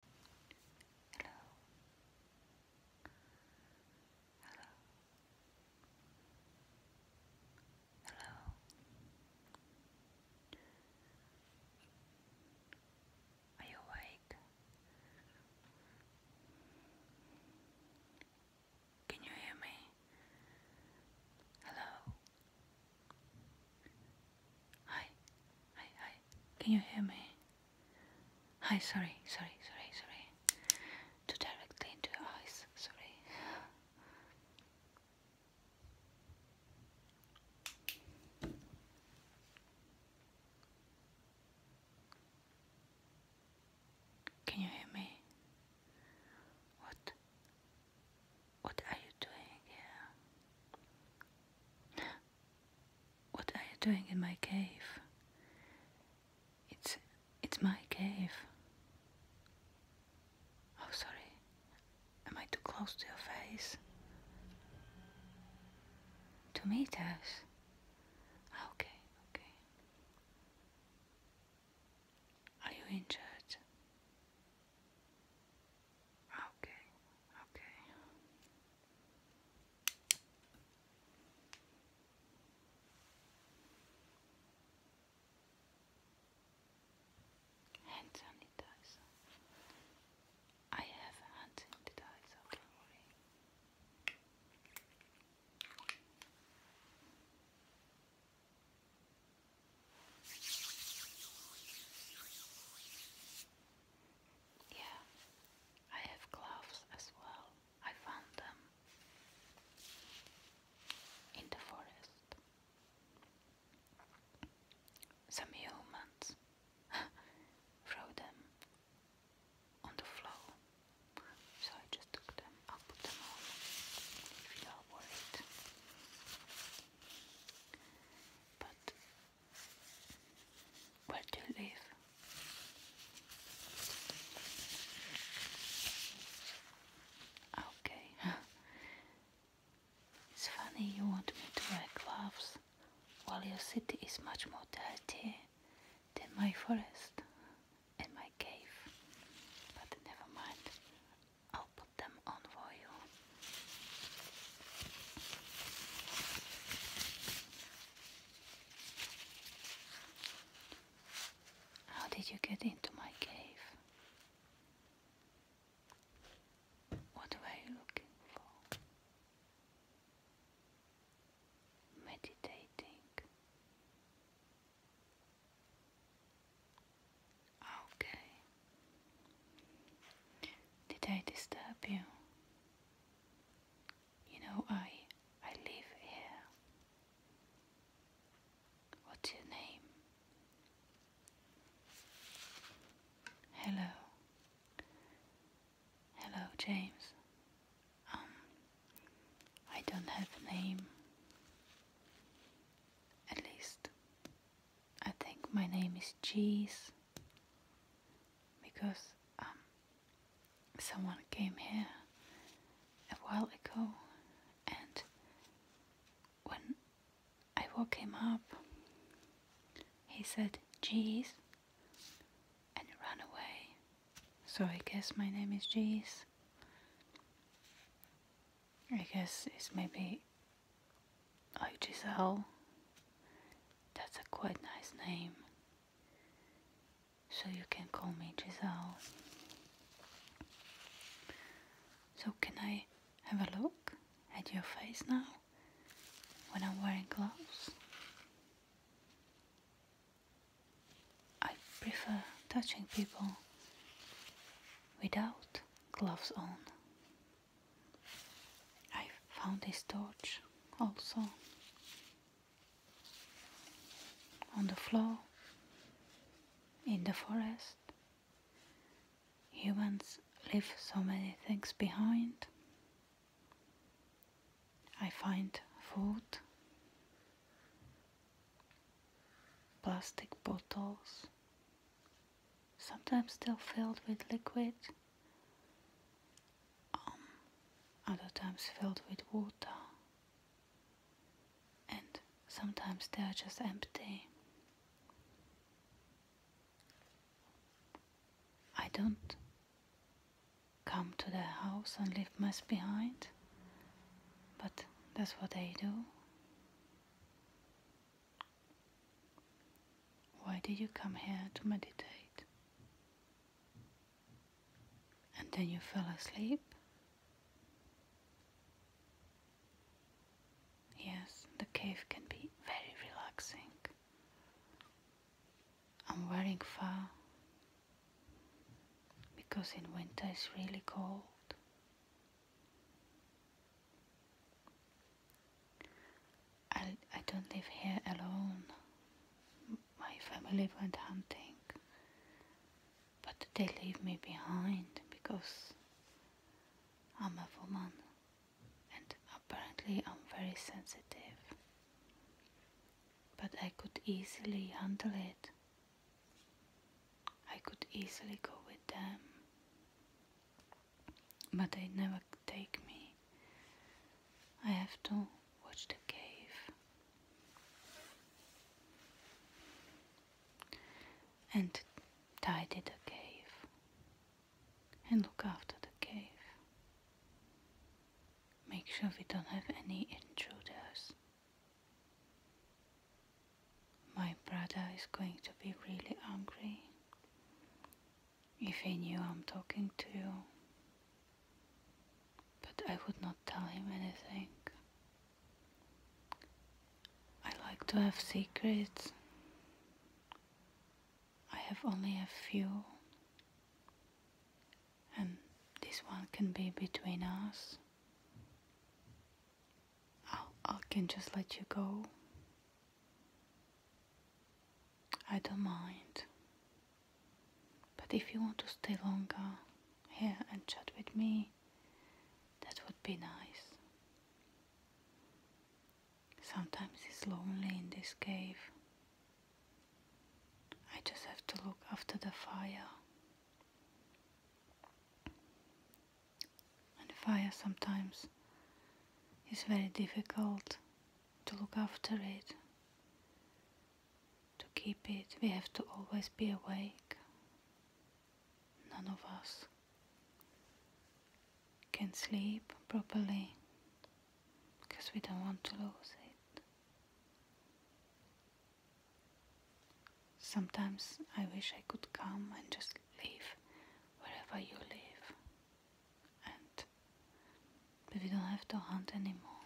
Hello. Hello. Hello. Are you awake? Can you hear me? Hello. Hi, hi, hi. Can you hear me? Hi, sorry, sorry, sorry, sorry. Too directly into your eyes, sorry. Can you hear me? What? What are you doing here? What are you doing in my cave? It's it's my cave. Oh sorry. Am I too close to your face? Two meters? Ah, okay, okay. Are you injured? Okay, okay. I have a hand sanitizer, yeah, I have gloves as well. I found them in the forest. Some humans them on the floor, so I just took them. I'll put them on if you are worried. But where do you live? Okay. it's funny you want me to wear gloves while your city is much more dirty than my forest in my cave, but never mind, I'll put them on for you. How did you get into my cave? What were you looking for? Meditating. Okay. Did I disturb you? You know, I I live here. What's your name? Hello. Hello, James. Um, I don't have a name. At least, I think my name is Cheese because um, someone came here a while ago and when I woke him up he said cheese and ran away so I guess my name is Jeez. I guess it's maybe like Giselle. That's a quite nice name. So you can call me Giselle. So can I have a look at your face now when I'm wearing gloves? I prefer touching people without gloves on. I found this torch also on the floor in the forest. Humans leave so many things behind I find food, plastic bottles, sometimes still filled with liquid, um, other times filled with water, and sometimes they are just empty. I don't come to the house and leave mess behind. But that's what they do. Why did you come here to meditate? And then you fell asleep? Yes, the cave can be very relaxing. I'm wearing fur because in winter it's really cold. I, I don't live here alone. My family went hunting, but they leave me behind because I'm a woman and apparently I'm very sensitive, but I could easily handle it. I could easily go with them, but they never take me. I have to watch the cave. And tidy the cave and look after the cave. Make sure we don't have any intruders. My brother is going to be really angry if he knew I'm talking to you. But I would not tell him anything. I like to have secrets. I have only a few, and this one can be between us. I can just let you go. I don't mind. But if you want to stay longer here and chat with me, that would be nice. Sometimes it's lonely in this cave. I just have to look after the fire. And fire sometimes is very difficult to look after it, to keep it. We have to always be awake none of us can sleep properly because we don't want to lose it. Sometimes I wish I could come and just live wherever you live, and but we don't have to hunt anymore.